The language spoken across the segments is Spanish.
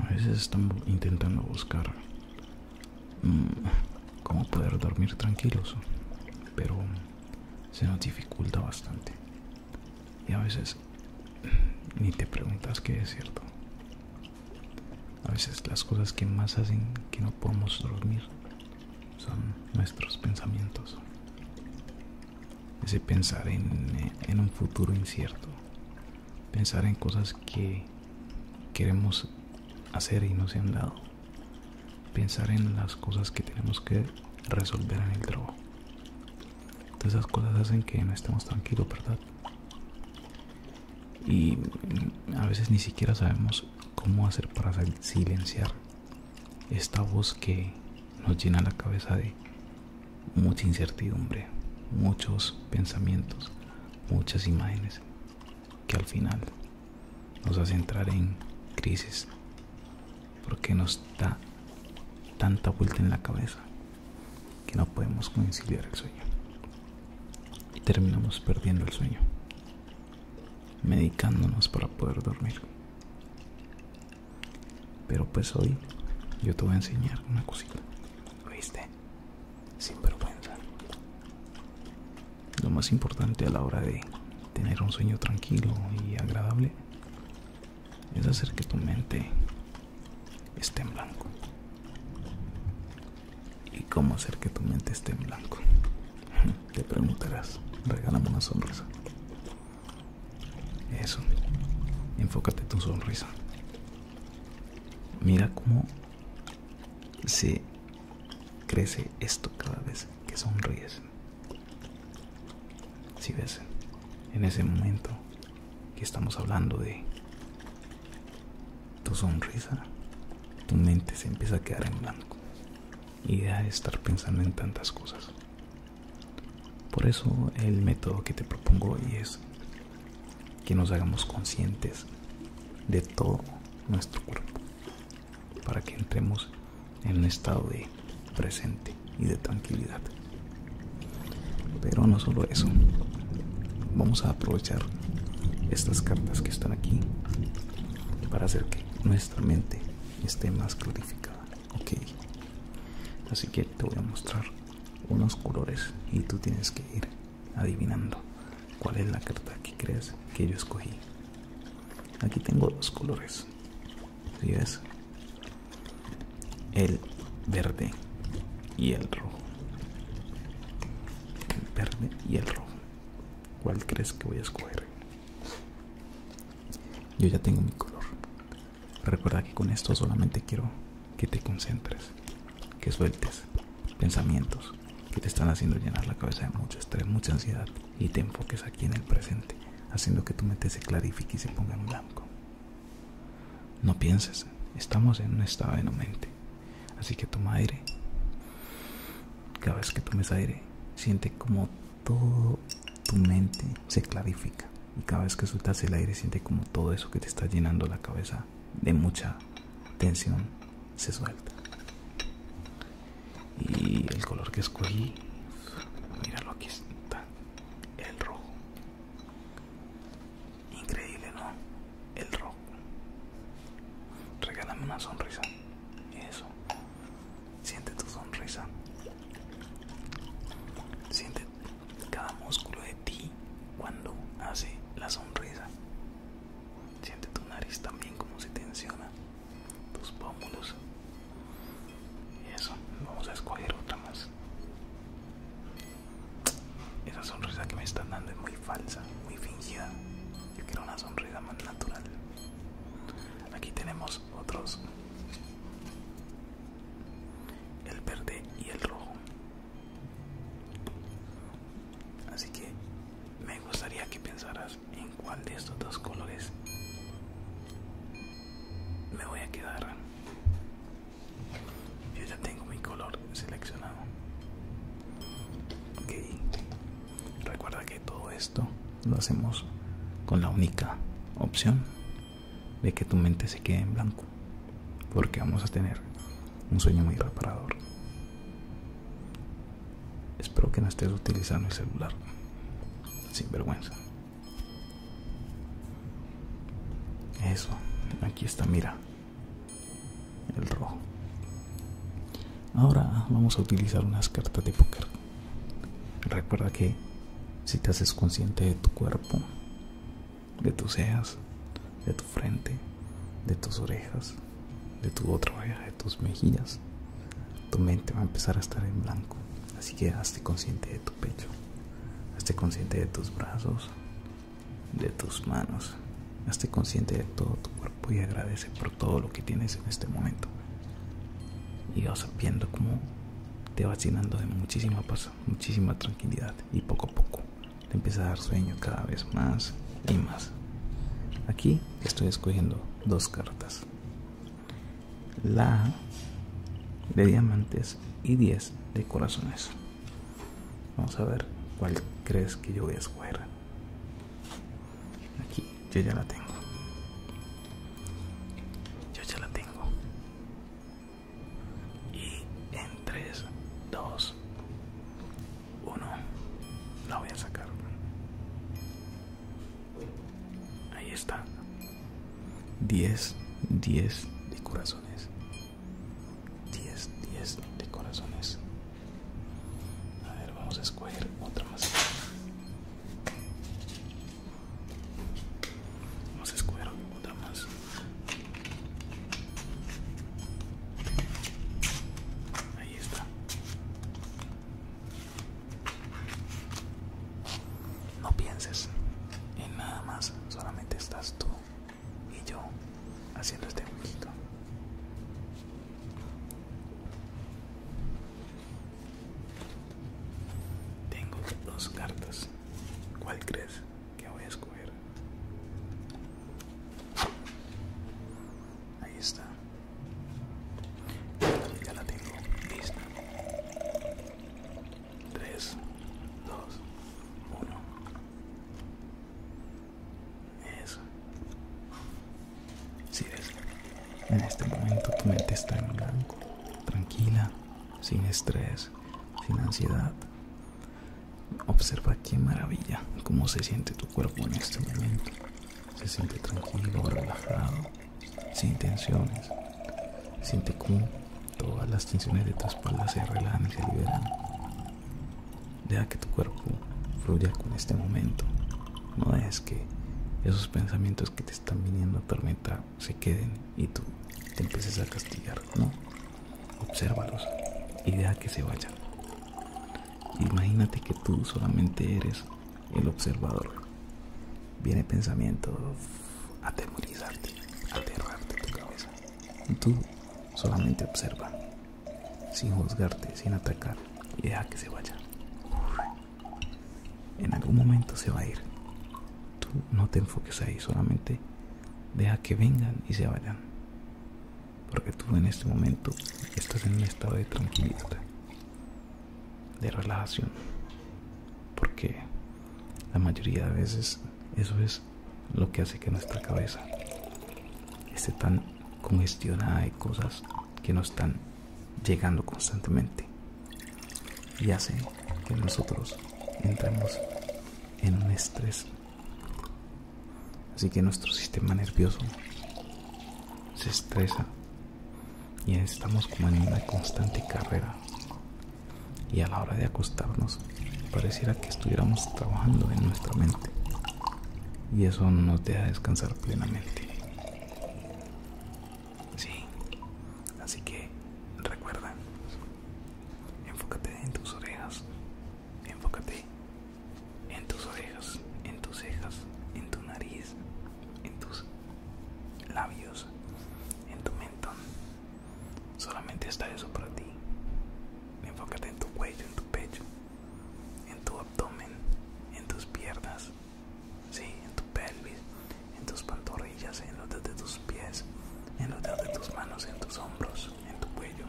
A veces estamos intentando buscar mm, cómo poder dormir tranquilos, pero se nos dificulta bastante. Y a veces ni te preguntas qué es cierto. A veces las cosas que más hacen que no podamos dormir son nuestros pensamientos. Ese pensar en un futuro incierto, pensar en cosas que queremos hacer y no se han dado. Pensar en las cosas que tenemos que resolver en el trabajo. Todas esas cosas hacen que no estemos tranquilos, ¿verdad? Y a veces ni siquiera sabemos cómo hacer para silenciar esta voz que nos llena la cabeza de mucha incertidumbre, muchos pensamientos, muchas imágenes que al final nos hacen entrar en crisis porque nos da tanta vuelta en la cabeza que no podemos conciliar el sueño y terminamos perdiendo el sueño medicándonos para poder dormir pero pues hoy yo te voy a enseñar una cosita. ¿Viste? Sin vergüenza. Lo más importante a la hora de tener un sueño tranquilo y agradable es hacer que tu mente esté en blanco. ¿Y cómo hacer que tu mente esté en blanco? Te preguntarás, regálame una sonrisa. Eso. Enfócate tu sonrisa. Mira cómo se crece esto cada vez que sonríes. Si ves, en ese momento que estamos hablando de tu sonrisa, tu mente se empieza a quedar en blanco y a estar pensando en tantas cosas. Por eso el método que te propongo hoy es que nos hagamos conscientes de todo nuestro cuerpo para que entremos en un estado de presente y de tranquilidad. Pero no solo eso, vamos a aprovechar estas cartas que están aquí para hacer que nuestra mente esté más clarificada. Ok, así que te voy a mostrar unos colores y tú tienes que ir adivinando cuál es la carta que crees que yo escogí. Aquí tengo los colores. Si ves, el verde y el rojo. El verde y el rojo. ¿Cuál crees que voy a escoger? Yo ya tengo mi color. Recuerda que con esto solamente quiero que te concentres, que sueltes pensamientos que te están haciendo llenar la cabeza de mucho estrés, mucha ansiedad y te enfoques aquí en el presente, haciendo que tu mente se clarifique y se ponga en blanco. No pienses, estamos en un estado de no mente, así que toma aire. Cada vez que tomes aire, siente como todo tu mente se clarifica. Y cada vez que sueltas el aire, siente como todo eso que te está llenando la cabeza de mucha tensión se suelta. Y el color que escogí, míralo aquí está, el rojo. Increíble, ¿no? El rojo. Regálame una sonrisa. Eso. Siente tu sonrisa. Siente cada músculo de ti cuando hace la sonrisa. Siente tu nariz también como se tensiona, tus pómulos. Y eso, vamos a escoger otra más. Esa sonrisa que me están dando es muy falsa, muy fingida. Yo quiero una sonrisa más natural. Aquí tenemos otros el verde y el rojo así que me gustaría que pensaras en cuál de estos dos colores me voy a quedar yo ya tengo mi color seleccionado ok recuerda que todo esto lo hacemos con la única opción de que tu mente se quede en blanco, porque vamos a tener un sueño muy reparador. Espero que no estés utilizando el celular sin vergüenza. Eso, aquí está, mira, el rojo. Ahora vamos a utilizar unas cartas de póker. Recuerda que si te haces consciente de tu cuerpo, de tus cejas, de tu frente, de tus orejas, de tu otra oreja, de tus mejillas. Tu mente va a empezar a estar en blanco. Así que hazte consciente de tu pecho, hazte consciente de tus brazos, de tus manos. Hazte consciente de todo tu cuerpo y agradece por todo lo que tienes en este momento. Y vas viendo cómo te vacinando llenando de muchísima paso muchísima tranquilidad y poco a poco te empieza a dar sueño cada vez más y más. Aquí estoy escogiendo dos cartas. La de diamantes y 10 de corazones. Vamos a ver cuál crees que yo voy a escoger. Aquí, yo ya la tengo. Yo ya la tengo. Y en 3, 2, 1, la voy a sacar. Ahí está. 10, 10 de corazones. 10, 10 de corazones. A ver, vamos a escoger otra más. Vamos a escoger otra más. Ahí está. No pienses en nada más, solamente estás tú y yo haciendo este jueguito. Tengo dos cartas. ¿Cuál crees? que voy a escoger ahí está ya la tengo lista 3 2 1 eso si es en este momento tu mente está en blanco tranquila sin estrés sin ansiedad Observa qué maravilla cómo se siente tu cuerpo en este momento. Se siente tranquilo, relajado, sin tensiones. Siente cómo todas las tensiones de tu espalda se relajan y se liberan. Deja que tu cuerpo fluya con este momento. No es que esos pensamientos que te están viniendo a atormentar se queden y tú te empieces a castigar, ¿no? Obsérvalos y deja que se vayan. Imagínate que tú solamente eres el observador. Viene pensamiento a atemorizarte, aterrarte tu cabeza. Tú solamente observa, sin juzgarte, sin atacar y deja que se vaya. En algún momento se va a ir. Tú no te enfoques ahí, solamente deja que vengan y se vayan. Porque tú en este momento estás en un estado de tranquilidad, de relajación. Porque la mayoría de veces eso es lo que hace que nuestra cabeza esté tan congestionada de cosas que no están llegando constantemente y hace que nosotros entramos en un estrés. Así que nuestro sistema nervioso se estresa y estamos como en una constante carrera. Y a la hora de acostarnos, pareciera que estuviéramos trabajando en nuestra mente. Y eso no nos deja descansar plenamente. Sí. Así que recuerda, Enfócate en tus orejas. Enfócate en tus orejas, en tus cejas, en tu nariz, en tus labios, en tu mentón. Solamente está eso para ti. Enfócate en tu cuello, en tu pecho, en tu abdomen, en tus piernas, en tu pelvis, en tus pantorrillas, en los de tus pies, en los dedos de tus manos, en tus hombros, en tu cuello.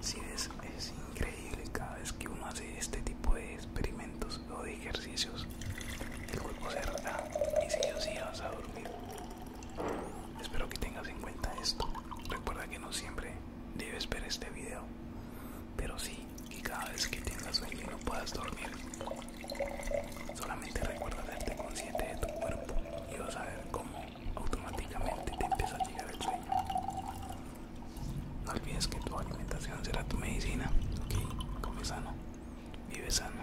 Si es, es increíble cada vez que uno hace este tipo de experimentos o de ejercicios, el cuerpo se relaja y si yo sí vas a dormir. Espero que tengas en cuenta esto. Recuerda que no siempre debes ver este video, pero sí que cada vez que tengas sueño no puedas dormir, Solamente recuerda hacerte consciente de tu cuerpo y vas a ver cómo automáticamente te empieza a llegar el sueño. No olvides que tu alimentación será tu medicina. Ok, come sano, vive sano.